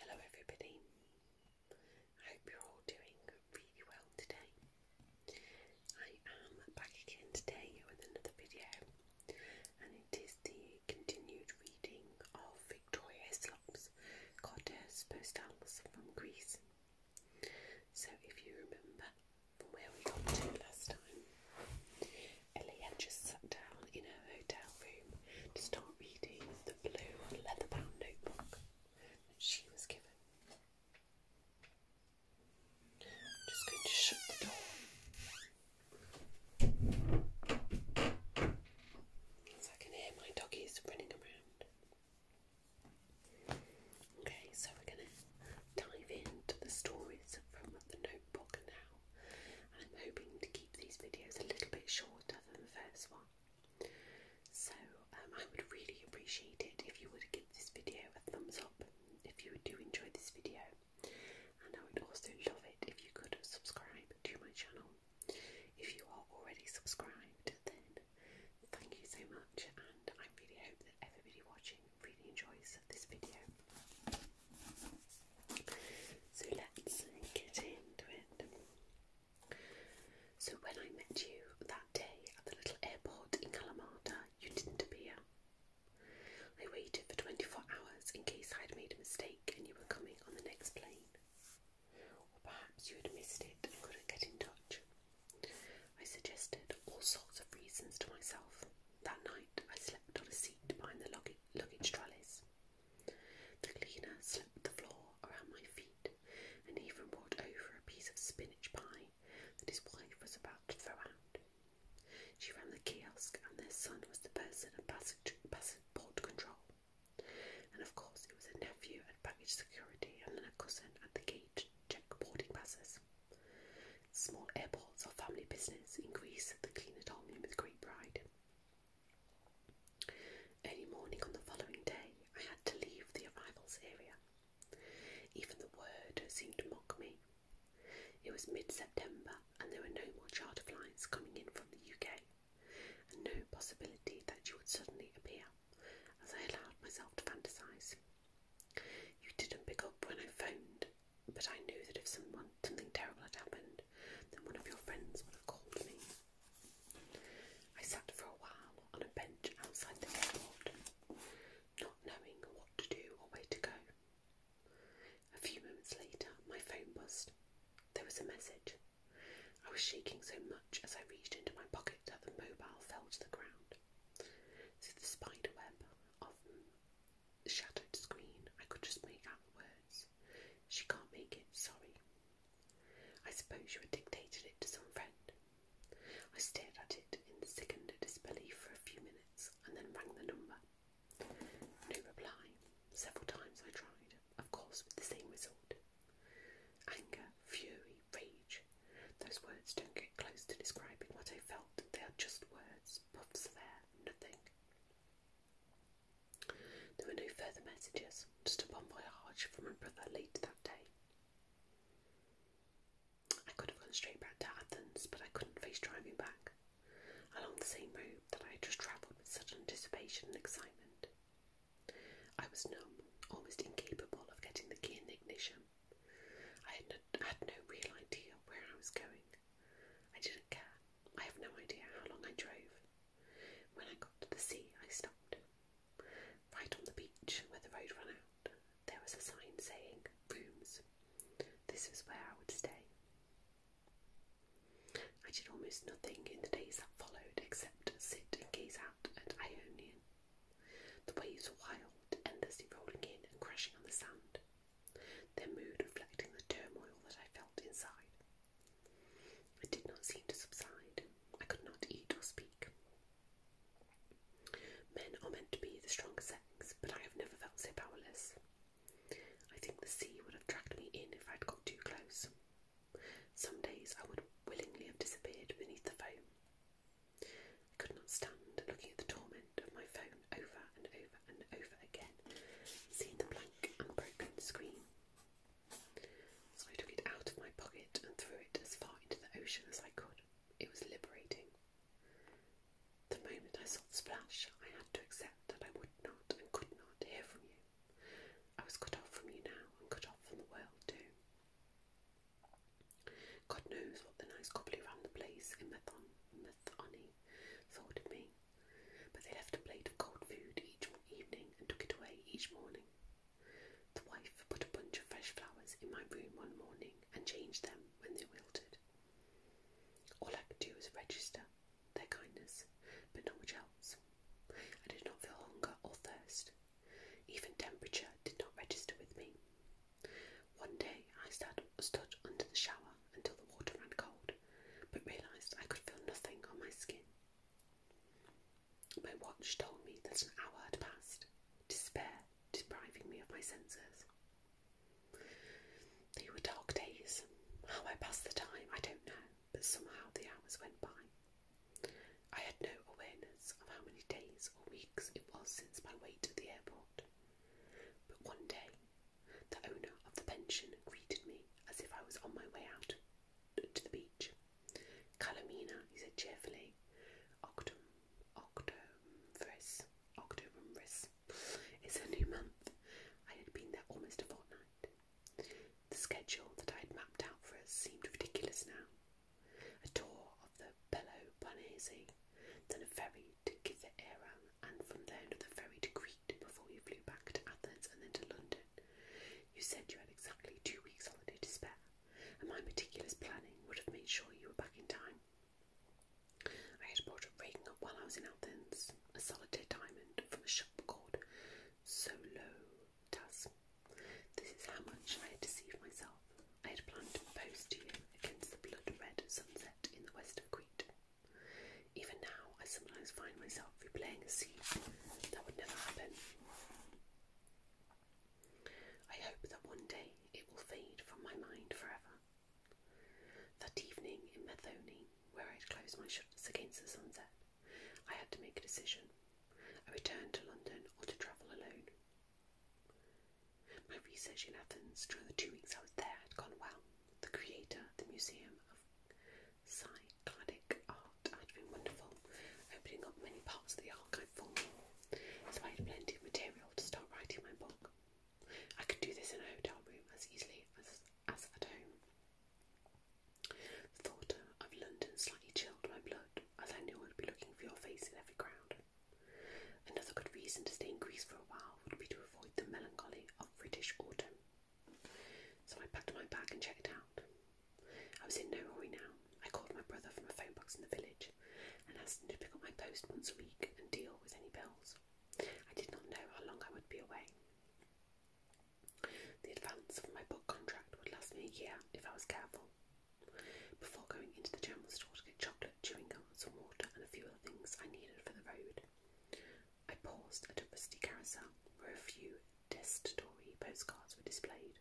Hello, everybody. I hope you're all doing really well today. I am back again today with another video, and it is the continued reading of Victoria Slop's Kodos Postals from Greece. So, if you remember where we got to last time, had just sat down in her hotel room to start reading the blue leather bound notebook that she was given. just going to shut the door. I can hear my doggies running around. Okay, so we're going to dive into the stories from the notebook now. I'm hoping to keep these videos a little bit shorter than the first one. So um, I would really appreciate it if you would give this video a thumbs up if you do enjoy this video, and I would also love it if you could subscribe to my channel. If you are already subscribed, then thank you so much, and I really hope that everybody watching really enjoys this video. So let's get into it. So when I met you that day at the little airport in Kalamata, you didn't appear. I waited for 24 hours in case I had made a mistake and you were coming on the next plane. Or perhaps you had missed it and couldn't get in touch. I suggested all sorts of reasons to myself. That night I slept on a seat behind the luggage trellis. The cleaner slipped the floor around my feet and even brought over a piece of spinach pie that his wife was about to throw out. She ran the kiosk, and their son was the person at passport control. And of course, it was a nephew at baggage security, and then a cousin at the gate to check boarding passes. Small airports are family business in Greece, the cleaner told me with great pride. Early morning on the following day, I had to leave the arrivals area. Even the word seemed to mock me. It was mid September, and there were no more charter flights coming in from the UK, and no possibility that you would suddenly appear, as I allowed myself to fantasize. You didn't pick up when I phoned, but I knew that if someone, something terrible had happened, then one of your friends would have called me. I sat for a while on a bench outside the airport, not knowing what to do or where to go. A few moments later, my phone buzzed. There was a message. I was shaking so much as I reached into my pocket that the mobile fell to the ground. Through the spiderweb of the shadowed screen, I could just make out the words she can't make it, sorry. I suppose you had dictated it to some friend. I stared at it in sickened disbelief for a few minutes and then rang the number. No reply. Several times I tried, of course, with the same result. Anger, fury, rage. Those words don't get close to describing what I felt. They are just words, puffs of air, nothing. There were no further messages, just a bon voyage from my brother late that day. I could have gone straight back to Athens, but I couldn't face driving back along the same road that I had just travelled with such anticipation and excitement. I was numb, almost incapable of getting the key in the ignition. I had no, had no real idea where I was going. I didn't care. I have no idea how long I drove, when I got to the sea, I stopped. Right on the beach where the road ran out, there was a sign saying rooms. This was where I would stay. I did almost nothing in the days that followed except sit and gaze out at Ionian. The waves were wild, endlessly rolling in and crashing on the sand, their mood reflecting the turmoil that I felt inside. It did not seem to subside. I could not eat or speak. Men are meant to be the stronger sex, but I have never felt so powerless. I think the sea would have dragged me in if I would got too close. Some days I would willingly have disappeared beneath the foam. I could not stand looking at the torment of my phone over and over and over again, seeing the blank, unbroken screen. So I took it out of my pocket and threw it as far into the ocean as I could. It was liberating. The moment I saw the splash, I had to accept that I would not and could not hear from you. I was cut off from you now and cut off from the world too. God knows what the nice gobbly round the place in Methon, Methoni thought of me. But they left a plate of cold food each evening and took it away each morning. The wife put a bunch of fresh flowers in my room one morning and changed them when they wilted. All I could do was register their kindness, but not much else. I did not feel hunger or thirst. Even temperature did not register with me. One day I stood under the shower until the water ran cold, but realised I could feel nothing on my skin my watch told me that an hour had passed, despair depriving me of my senses. They were dark days. How I passed the time, I don't know, but somehow the hours went by. I had no awareness of how many days or weeks it was since my wait at the airport. But one day, the owner of the pension greeted me as if I was on my way out to the beach. Calamina, he said cheerfully. Octum, octomvris, octomvris. It's a new month. I had been there almost a fortnight. The schedule that I had mapped out for us seemed ridiculous now. A tour of the Peloponese, then a ferry to Kythera, and from there another ferry to Crete before you flew back to Athens and then to London. You said you had exactly two weeks' holiday to spare, and my meticulous planning would have made sure you were back in time. I had bought a ring while I was in Athens, a solitaire diamond from a shop called Solotas. This is how much I had deceived myself. I had planned to propose to you against the blood red sunset in the west of Crete. Even now, I sometimes find myself replaying a scene that would never happen. I hope that one day it will fade from my mind forever. That evening in Methoni, where I had closed my shutters against the sunset, I had to make a decision I return to London or to travel alone. My research in Athens during the two weeks I was there had gone well. The curator, the museum of Cycladic art had been wonderful, opening up many parts of the archive for me. So I had plenty of material to start writing my book. I could do this in a hotel room as easily as, as at home. The thought of London slightly chilled my blood, as I knew I would be looking for your face in every crowd. Another good reason to stay in Greece for a while would be to avoid the melancholy of British autumn. So I packed my bag and checked out. I was in no hurry now. I called my brother from a phone box in the village and asked him to pick up my post once a week and deal with any bills. I did not know how long I would be away. The advance of my book contract would last me a year if I was careful. Before going into the general store to get chocolate, chewing gum, some water, and a few other things I needed for the road, I paused at a rusty carousel for a few Destory postcards were displayed.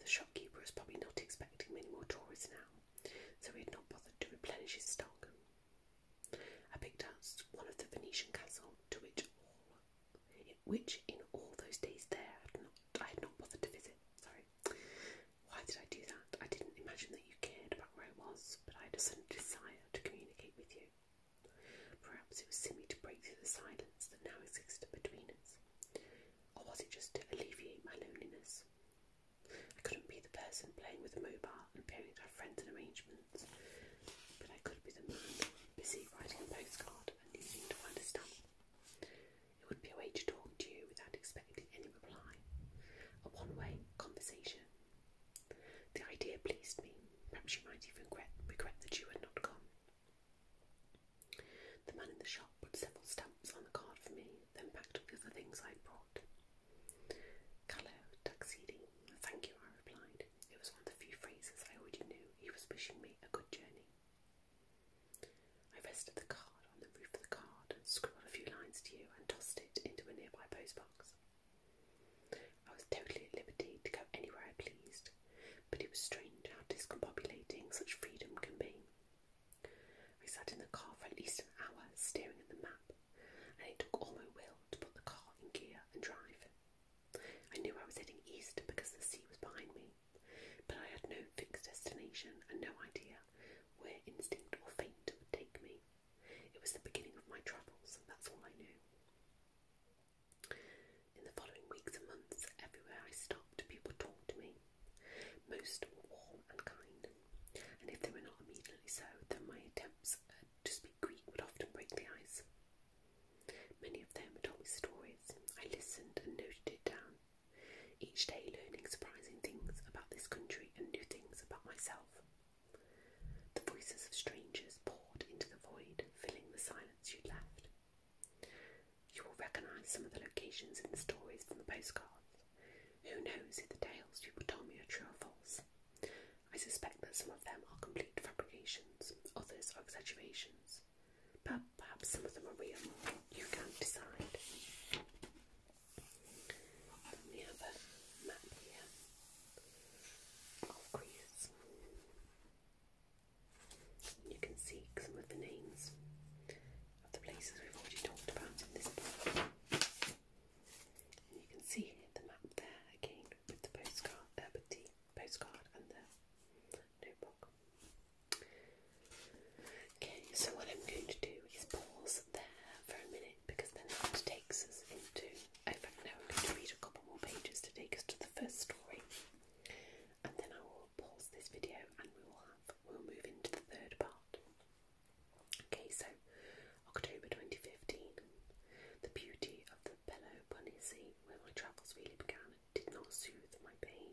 The shopkeeper was probably not expecting many more tourists now, so he had not bothered to replenish his stock. I picked out one of the Venetian castle to which which in all those days there had not, I had not bothered to visit. Sorry. Why did I do that? I didn't imagine that you cared about where I was, but I had a sudden desire to communicate with you. Perhaps it was simply to break through the silence that now existed between us. Or was it just to alleviate my loneliness? I couldn't be the person playing with a mobile and appearing to have friends and arrangements, but I could be the man busy writing a postcard and needing to understand. It would be a way to talk to you without expecting any reply, a one way conversation. The idea pleased me. Perhaps you might even regret, regret that you had not come. The man in the shop put several stamps on the card for me, then packed up the things I had brought. Colour, tuxedo, thank you, I replied. It was one of the few phrases I already knew. He was wishing me a good journey. I rested the card on the roof of the card, scribbled a few lines to you, and tossed it into a nearby postbox. I was totally at liberty to go anywhere I pleased, but it was strange how discombobulating such freedom can be. I sat in the car for at least an hour staring at the map, and it took all my will to put the car in gear and drive. I knew I was heading east because the sea was behind me, but I had no fixed destination and no idea where instinct or fate would take me. It was the beginning of my travels, and that's all I knew. In the following weeks and months, everywhere I stopped, people talked to me. Most were warm and kind, and if they were not immediately so, then my attempts uh, to speak Greek would often break the ice. Many of them told me stories. I listened and noted it down, each day learning surprising things about this country and new things about myself. The voices of strangers poured into the void, filling the silence she left. You will recognize some of the locations and stories from the postcards. Who knows if the tales you've told me are true or false? I suspect that some of them are complete fabrications, others are exaggerations. But perhaps some of them are real. You can decide. Then we map here of Greece. You can see some of the names of the places we've already talked about in this book. And you can see the map there again with the postcard, uh, with the postcard and the notebook. Okay, so what I'm going to do is pause there for a minute because then that takes us into. In fact, now we're going to read a couple more pages to take us to the first story and then I will pause this video and we will have we'll move into the third part. Okay, so October 2015, the beauty of the scene where my travels really began, did not soothe my pain.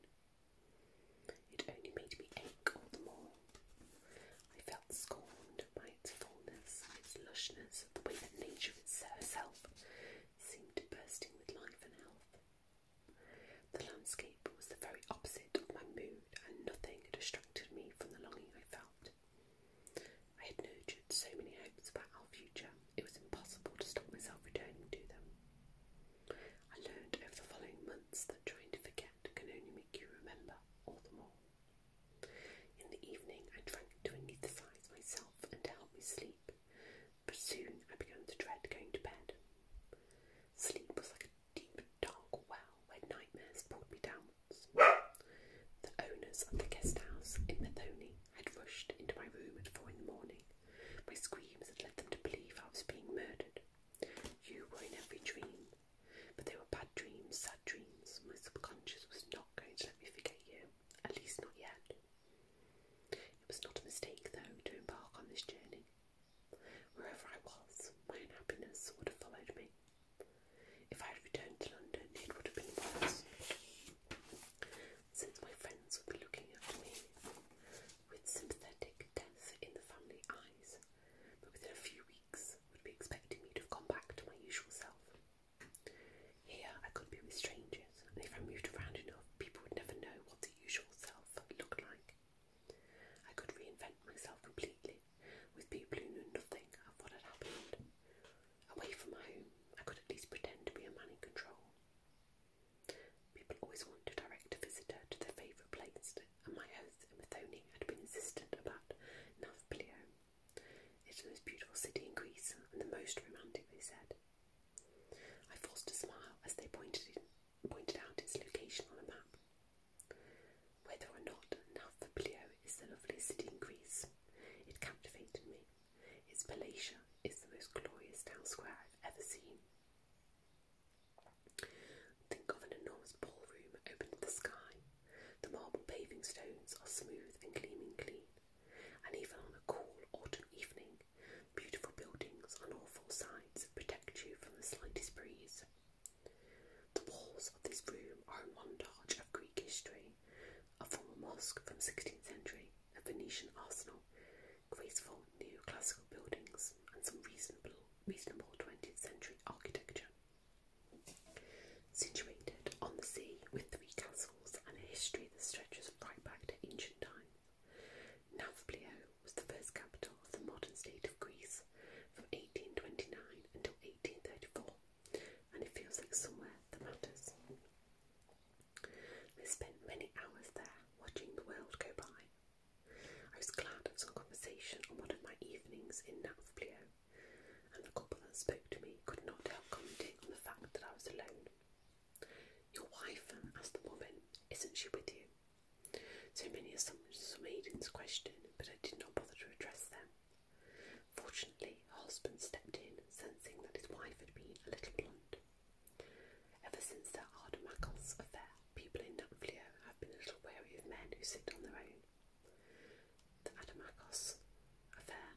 It only made me ache all the more. I felt scorned by its fullness, its lushness, the way that nature would herself seemed bursting with life and health. The landscape was the very opposite of my mood, and nothing distracted me from the longing I felt. I had nurtured so many hopes about our future, it was impossible to stop myself returning to them. I learned over the following months that trying to forget can only make you remember all the more. In the evening, I drank to anesthetise myself and to help me sleep, but soon I began to dread going to bed. Sleep was like a deep, dark well where nightmares pulled me downwards. the owners of the guest in Methoni had rushed into my room at four in the morning. My screams had led them to believe I was being murdered. You were in every dream, but they were bad dreams, sad dreams. My subconscious was not going to let me forget you, at least not yet. It was not a mistake, though, to embark on this journey. Wherever I was, my unhappiness would have followed me. If I had returned to London, it would have been worse, since my friends would be looking at me with sympathetic death in the family eyes, but within a few weeks would be expecting me to have gone back to my usual self. Here I could be with strangers, and if I moved around enough, people would never know what the usual self looked like. I could reinvent myself completely with people who knew nothing of what had happened. Away from my home, I could at least pretend to be a man in control. People always want to direct a visitor to their favourite place, and my host in Methoni had been insistent about Navplio. It's the most beautiful city in Greece and the most romantic, they said. I forced a smile as they pointed, pointed out its location on a map. Whether or not Nafplio is a lovely city in Greece, it captivated me. Its Palatium is the most glorious town square I've ever seen. Think of an enormous ballroom open to the sky. The marble paving stones are smooth and gleaming clean, and even on a cool autumn evening, Beautiful buildings on awful four protect you from the slightest breeze. The walls of this room are a montage of Greek history, a former mosque from the 16th century, a Venetian arsenal, graceful neoclassical buildings, and some reasonable, reasonable 20th century architecture. Situated on the sea with three castles and a history that stretches right back to ancient times. Navplio was the first capital of the modern state of Greece from 1829 until 1834, and it feels like somewhere that matters. I spent many hours there watching the world go by. I was glad of some conversation on one of my evenings in Navplio, and the couple that spoke to me could not help commenting on the fact that I was alone. Your wife? Um, asked the woman. Isn't she with you? So many assumptions were made in this question, but I did not bother to address them. Fortunately, her husband stepped in, sensing that his wife had been a little blunt. Ever since the Ardemackle's affair, people in Napflio have been a little wary of men who sit on their own. The Adamakos affair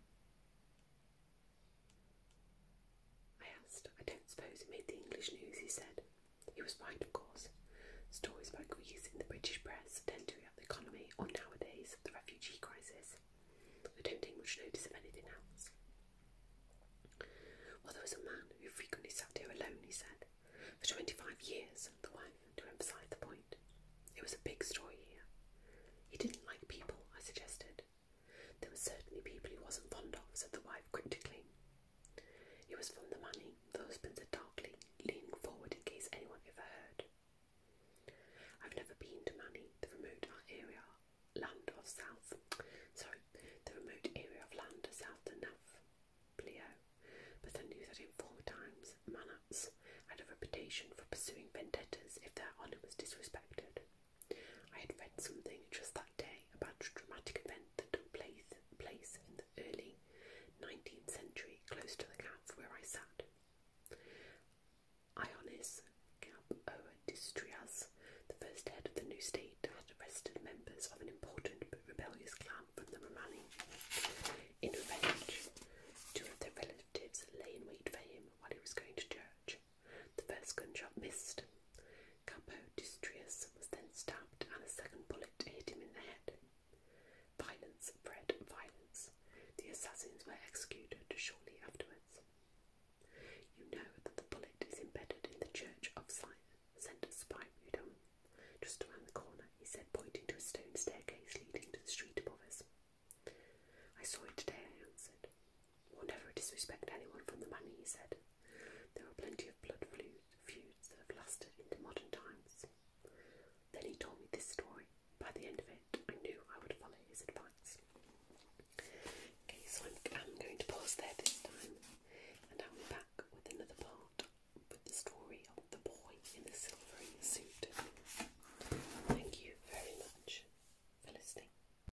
I asked. I don't suppose it made the English news, he said. He was right, of course. Stories about Greece in the British press tend to react the economy, or nowadays, the refugee crisis. I don't take much notice of anything else. Well, there was a man who frequently sat here alone, he said. For 25 years, the wife, to emphasise the point. It was a big story here. He didn't like people, I suggested. There were certainly people he wasn't fond of, said the wife critically. He was fond of money, the husband said darkly, leaning forward in case anyone overheard. I've never been to Manny, the remote area land of south sorry, the remote area of land south of Plio, but I knew that in former times Manats had a reputation for pursuing vendettas if their honour was disrespected I had read something just that day about a dramatic event that took place, in the early 19th century close to the camp where I sat. Ionis Kapodistrias, the first head of the new state, had arrested members of an important but rebellious clan from the Romani. In revenge, two of their relatives lay in wait for him while he was going to church the first gunshot missed. Capo Dustrius was then stabbed, and a second bullet hit him in the head. Violence bred violence. The assassins were executed shortly afterwards. You know that the bullet is embedded in the church of Saint Spyrudum, just around the corner, he said, pointing to a stone staircase leading to the street above us. I saw it today, I answered. Will never disrespect anyone from the money," he said. There are plenty of blood feuds that have lasted into modern times. Then he told me this story. By the end of it, I knew I would follow his advice. Okay, so I'm, going to pause there this time, and I'll be back with another part with the story of the boy in the silvery suit. Thank you very much for listening.